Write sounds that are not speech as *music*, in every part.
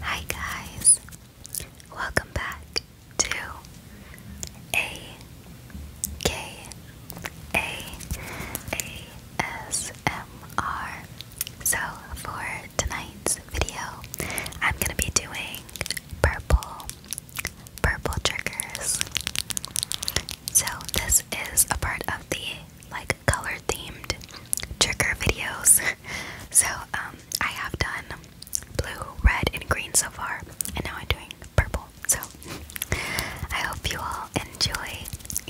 Hi, guys, welcome back to A K A A S M R. So, for tonight's video, I'm gonna be doing purple, purple triggers. So, this is a part of the like color themed trigger videos. *laughs* so um, I have done blue, red, and green so far, and now I'm doing purple. So *laughs* I hope you all enjoy,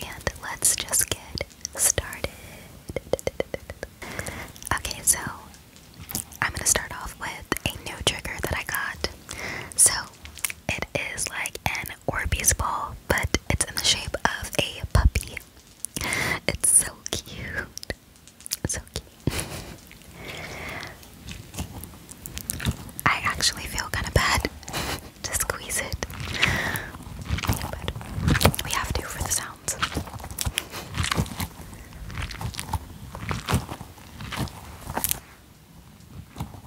and let's just get started. Okay, so I'm gonna start off with a new trigger that I got. So it is like an Orbeez ball, but it's in the shape of a puppy. It's so cute. so cute. *laughs* I actually feel kind of bad to squeeze it, we have to for the sounds.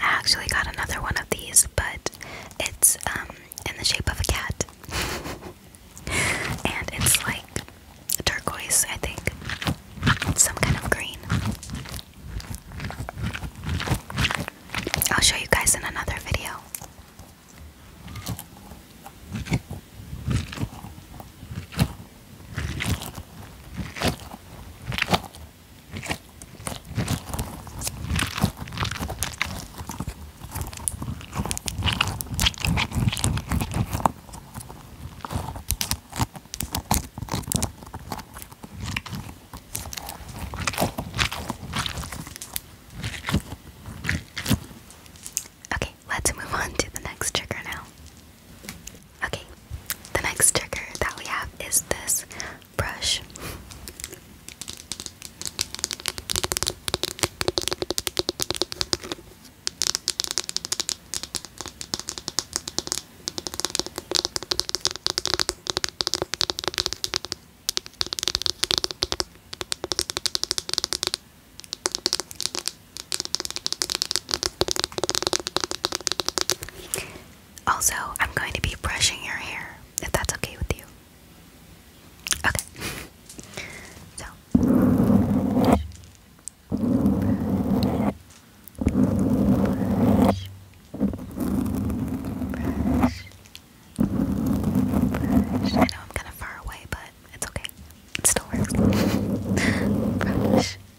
I actually got another one of these, but it's um in the shape of a cat. *laughs* and it's like turquoise, I think. Some kind of green. I'll show you guys in another video. Okay, let's move on to the next trigger now. Okay, the next trigger that we have is this brush. Also, I'm going to be brushing your hair if that's okay with you. Okay. so, brush, brush, brush, I know I'm kind of far away, but it's okay. It still works. *laughs* brush,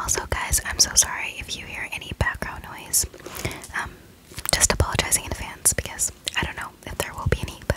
Also, guys, I'm so sorry if you hear any background noise. Um, just apologizing in advance because I don't know if there will be any, but.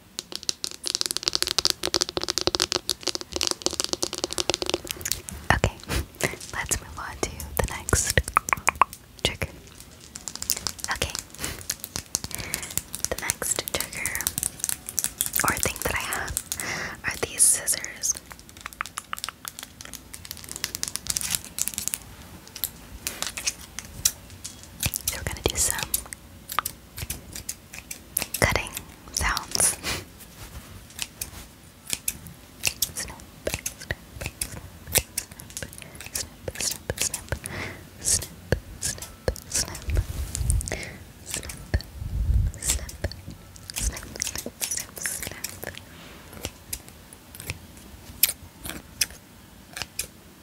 Okay, *laughs* let's move on to the next trigger. Okay, the next trigger or thing that I have are these scissors. So we're gonna do some cutting sounds.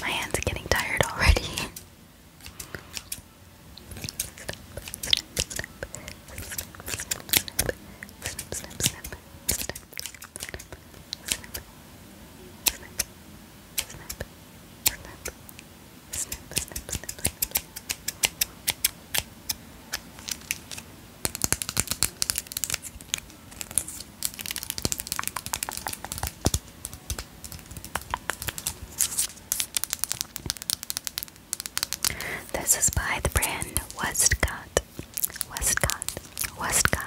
My hands are getting tired already. This is by the brand Westcott. Westcott. Westcott.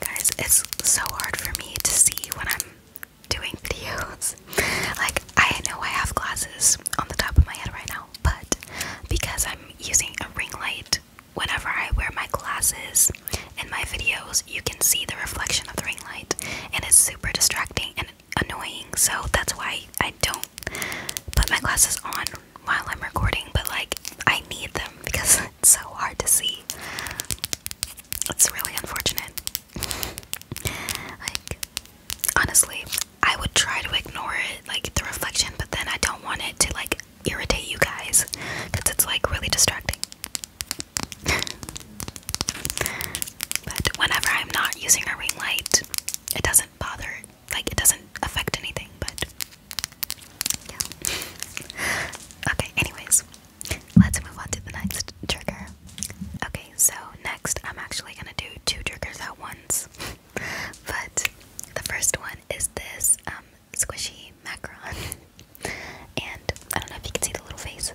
Guys, it's so hard for me to see when I'm doing videos. *laughs* like, I know I have glasses on the top of my head right now, but because I'm using a ring light, whenever I wear my glasses in my videos, you can see the reflection of the ring light, and it's super distracting annoying, so that's why I don't put my glasses on while I'm recording, but like I need them because *laughs* it's so hard to see. It's really unfortunate. like, honestly, I would try to ignore it, like the reflection, but then I don't want it to like irritate you guys because it's like really distracting. *laughs* but whenever I'm not using a ring light, it doesn't bother like it doesn't affect anything but yeah *laughs* okay anyways let's move on to the next trigger okay so next i'm actually gonna do two triggers at once *laughs* but the first one is this um, squishy macaron *laughs* and i don't know if you can see the little face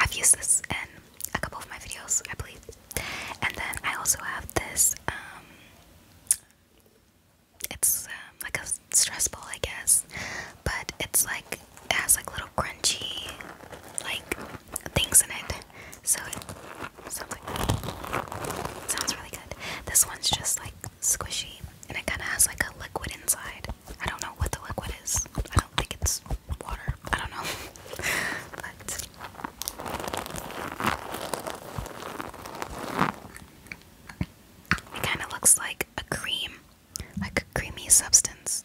i've used this in a couple of my videos, I believe. And then I also have this, um, it's um, like a stress ball, I guess, but it's like, has like little crunchy, like, things in it. So sounds like, sounds really good. This one's just like squishy and it kind of has like a liquid inside. I don't know what the liquid is. I don't think it's water. I don't know. *laughs* it kind of looks like a cream, like a creamy substance.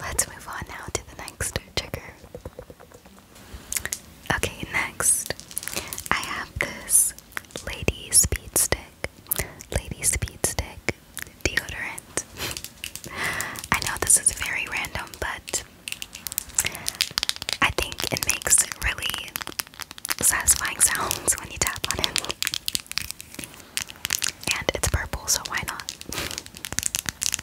Let's move on now to the next trigger. Okay, next I have this Lady Speed Stick. Lady Speed Stick deodorant. *laughs* I know this is very random, but I think it makes really satisfying sounds when you tap on it. And it's purple, so why not? *laughs*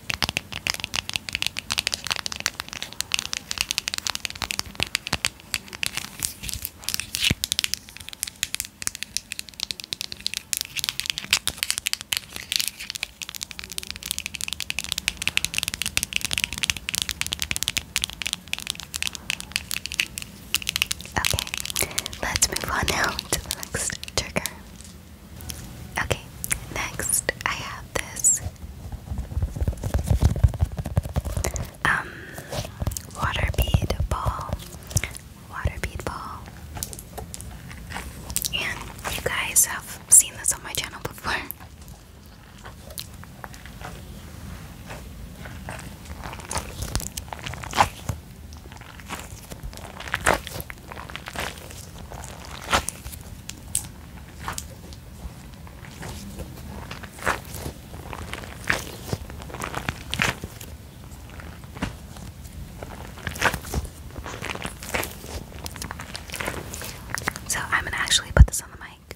Okay, let's move on now to the next trigger. Okay, next I have this um, water bead ball, water bead ball. And you guys have seen this on my channel before. So I'm going to actually put this on the mic.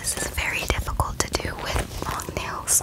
This is very difficult to do with long nails.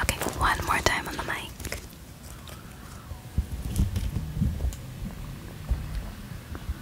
Okay, one more time on the mic.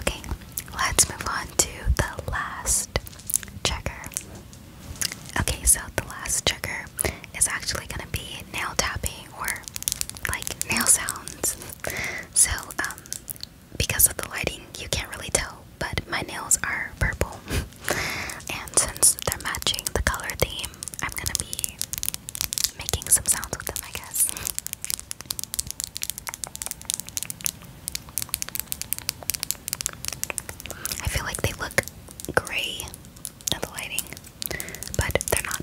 Okay, let's move on to the last trigger. Okay, so the last trigger is actually going to be nail tapping or like nail sounds. So, um, because of the lighting, you can't really tell, but my nails are purple. *laughs* and since they're matching the color theme, I'm gonna be making some sounds with them, I guess. I feel like they look gray the lighting, but they're not.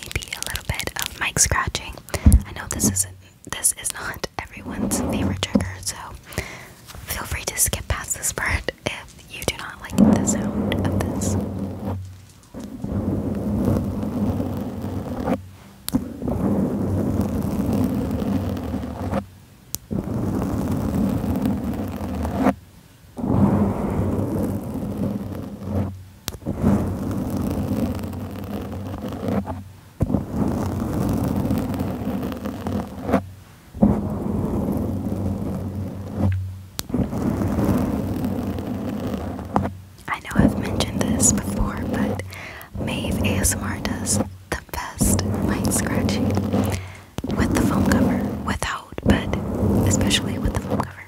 maybe a little bit of mic scratching. I know this isn't this is not everyone's favorite trigger, so feel free to skip past this part *laughs* if you do not like the sound of this. I know I've mentioned this before, but Maeve ASMR does the best mind scratching with the foam cover, without, but especially with the foam cover.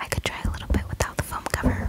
I could try a little bit without the foam cover.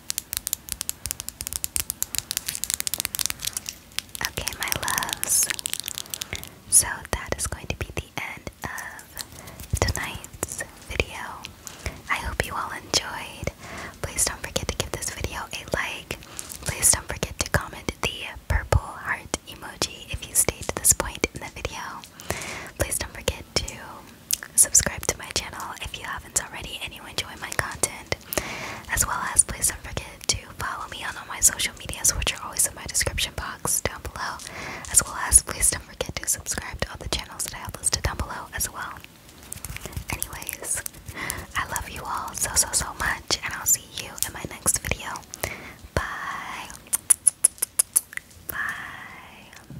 Okay, my loves. So that is going to be the end of tonight's video. I hope you all enjoyed. Please don't forget to give this video a like. Please don't forget to comment the purple heart emoji if you stayed to this point in the video. Please don't forget to subscribe to my channel if you haven't already and you enjoy my content. As well as, please don't forget to follow me on all my social medias, which are always in my description box down below. As well as, please don't forget to subscribe to all the channels that I have listed down below as well. Anyways, I love you all so, so, so much, and I'll see you in my next video. Bye. Bye.